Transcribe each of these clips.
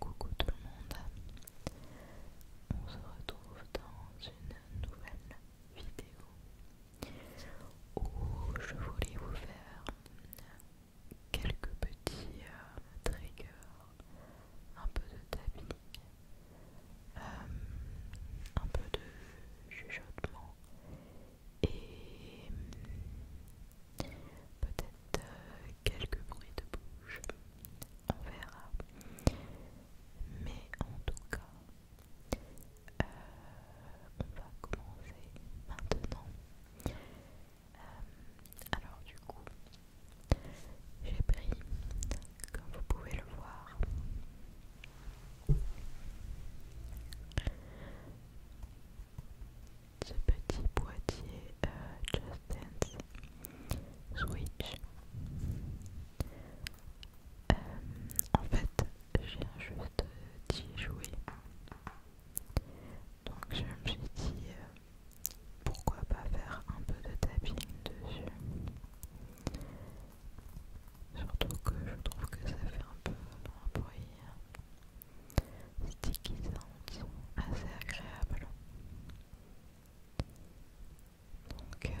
Coucou tout le monde, on se retrouve dans une nouvelle vidéo où je voulais vous faire quelques petits euh, triggers, un peu de tapis, euh, un peu de chuchotement et peut-être euh, quelques bruits de bouche, on verra. Mais en tout cas, euh, on va commencer maintenant. Euh, alors du coup, j'ai pris, comme vous pouvez le voir, ce petit boîtier euh, Just Dance Switch. Euh, en fait, j'ai juste petit jouer. Donc je me suis dit euh, pourquoi pas faire un peu de tapping dessus. Surtout que je trouve que ça fait un peu un bruit hein stickisantes, assez agréables. Donc euh, voilà.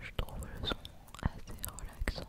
Je trouve le son assez relaxant.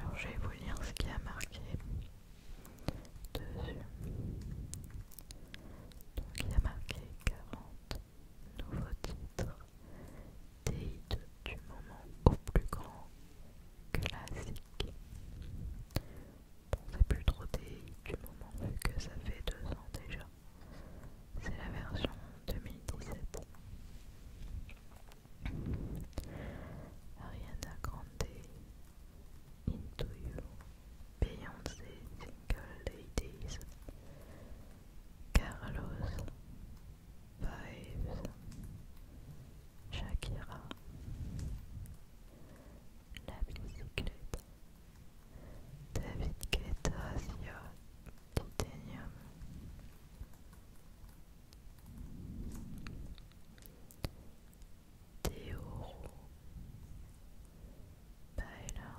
Alors je vais vous lire ce qui a marqué dessus. Donc il y a marqué 40 nouveaux titres des du moment au plus grand classique. On Bon, c'est plus trop des du moment vu que ça fait deux ans déjà. C'est la version 2017. Ariana Grande, Into You, Beyoncé, Single Ladies, Carlos, Vibes, Shakira, La bicyclette, David Guetta, Titanium, Théoro, Baylor.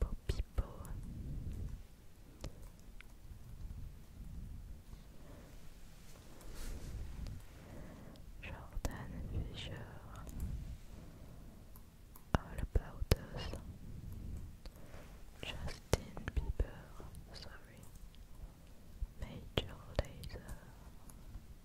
Popipo Jordan Fisher All About Us Justin Bieber, sorry Major Laser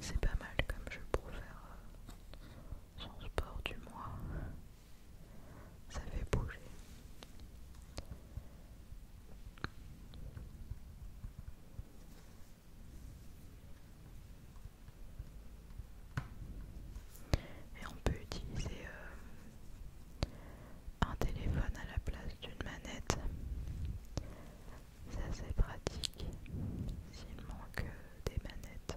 C'est pas mal comme je pour faire euh, son sport du mois. Ça fait bouger. Et on peut utiliser euh, un téléphone à la place d'une manette. Ça c'est pratique s'il manque euh, des manettes.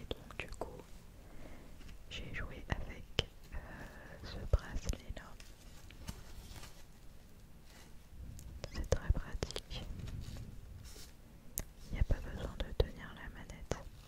Et donc du coup, j'ai joué avec euh, ce bracelet là. C'est très pratique. Il n'y a pas besoin de tenir la manette.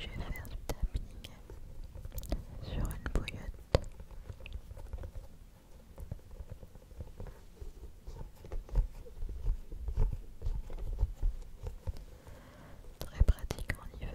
Je vais faire du tapping sur une bouillotte. Très pratique en hiver.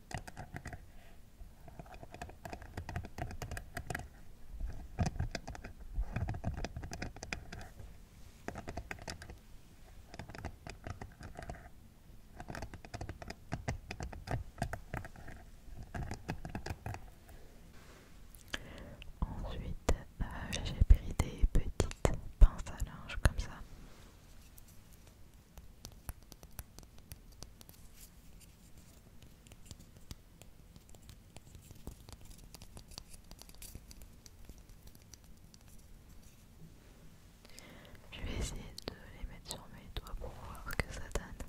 Ensuite, euh, j'ai pris des petites pinces à linge comme ça. Je vais essayer de les mettre sur mes doigts pour voir que ça donne.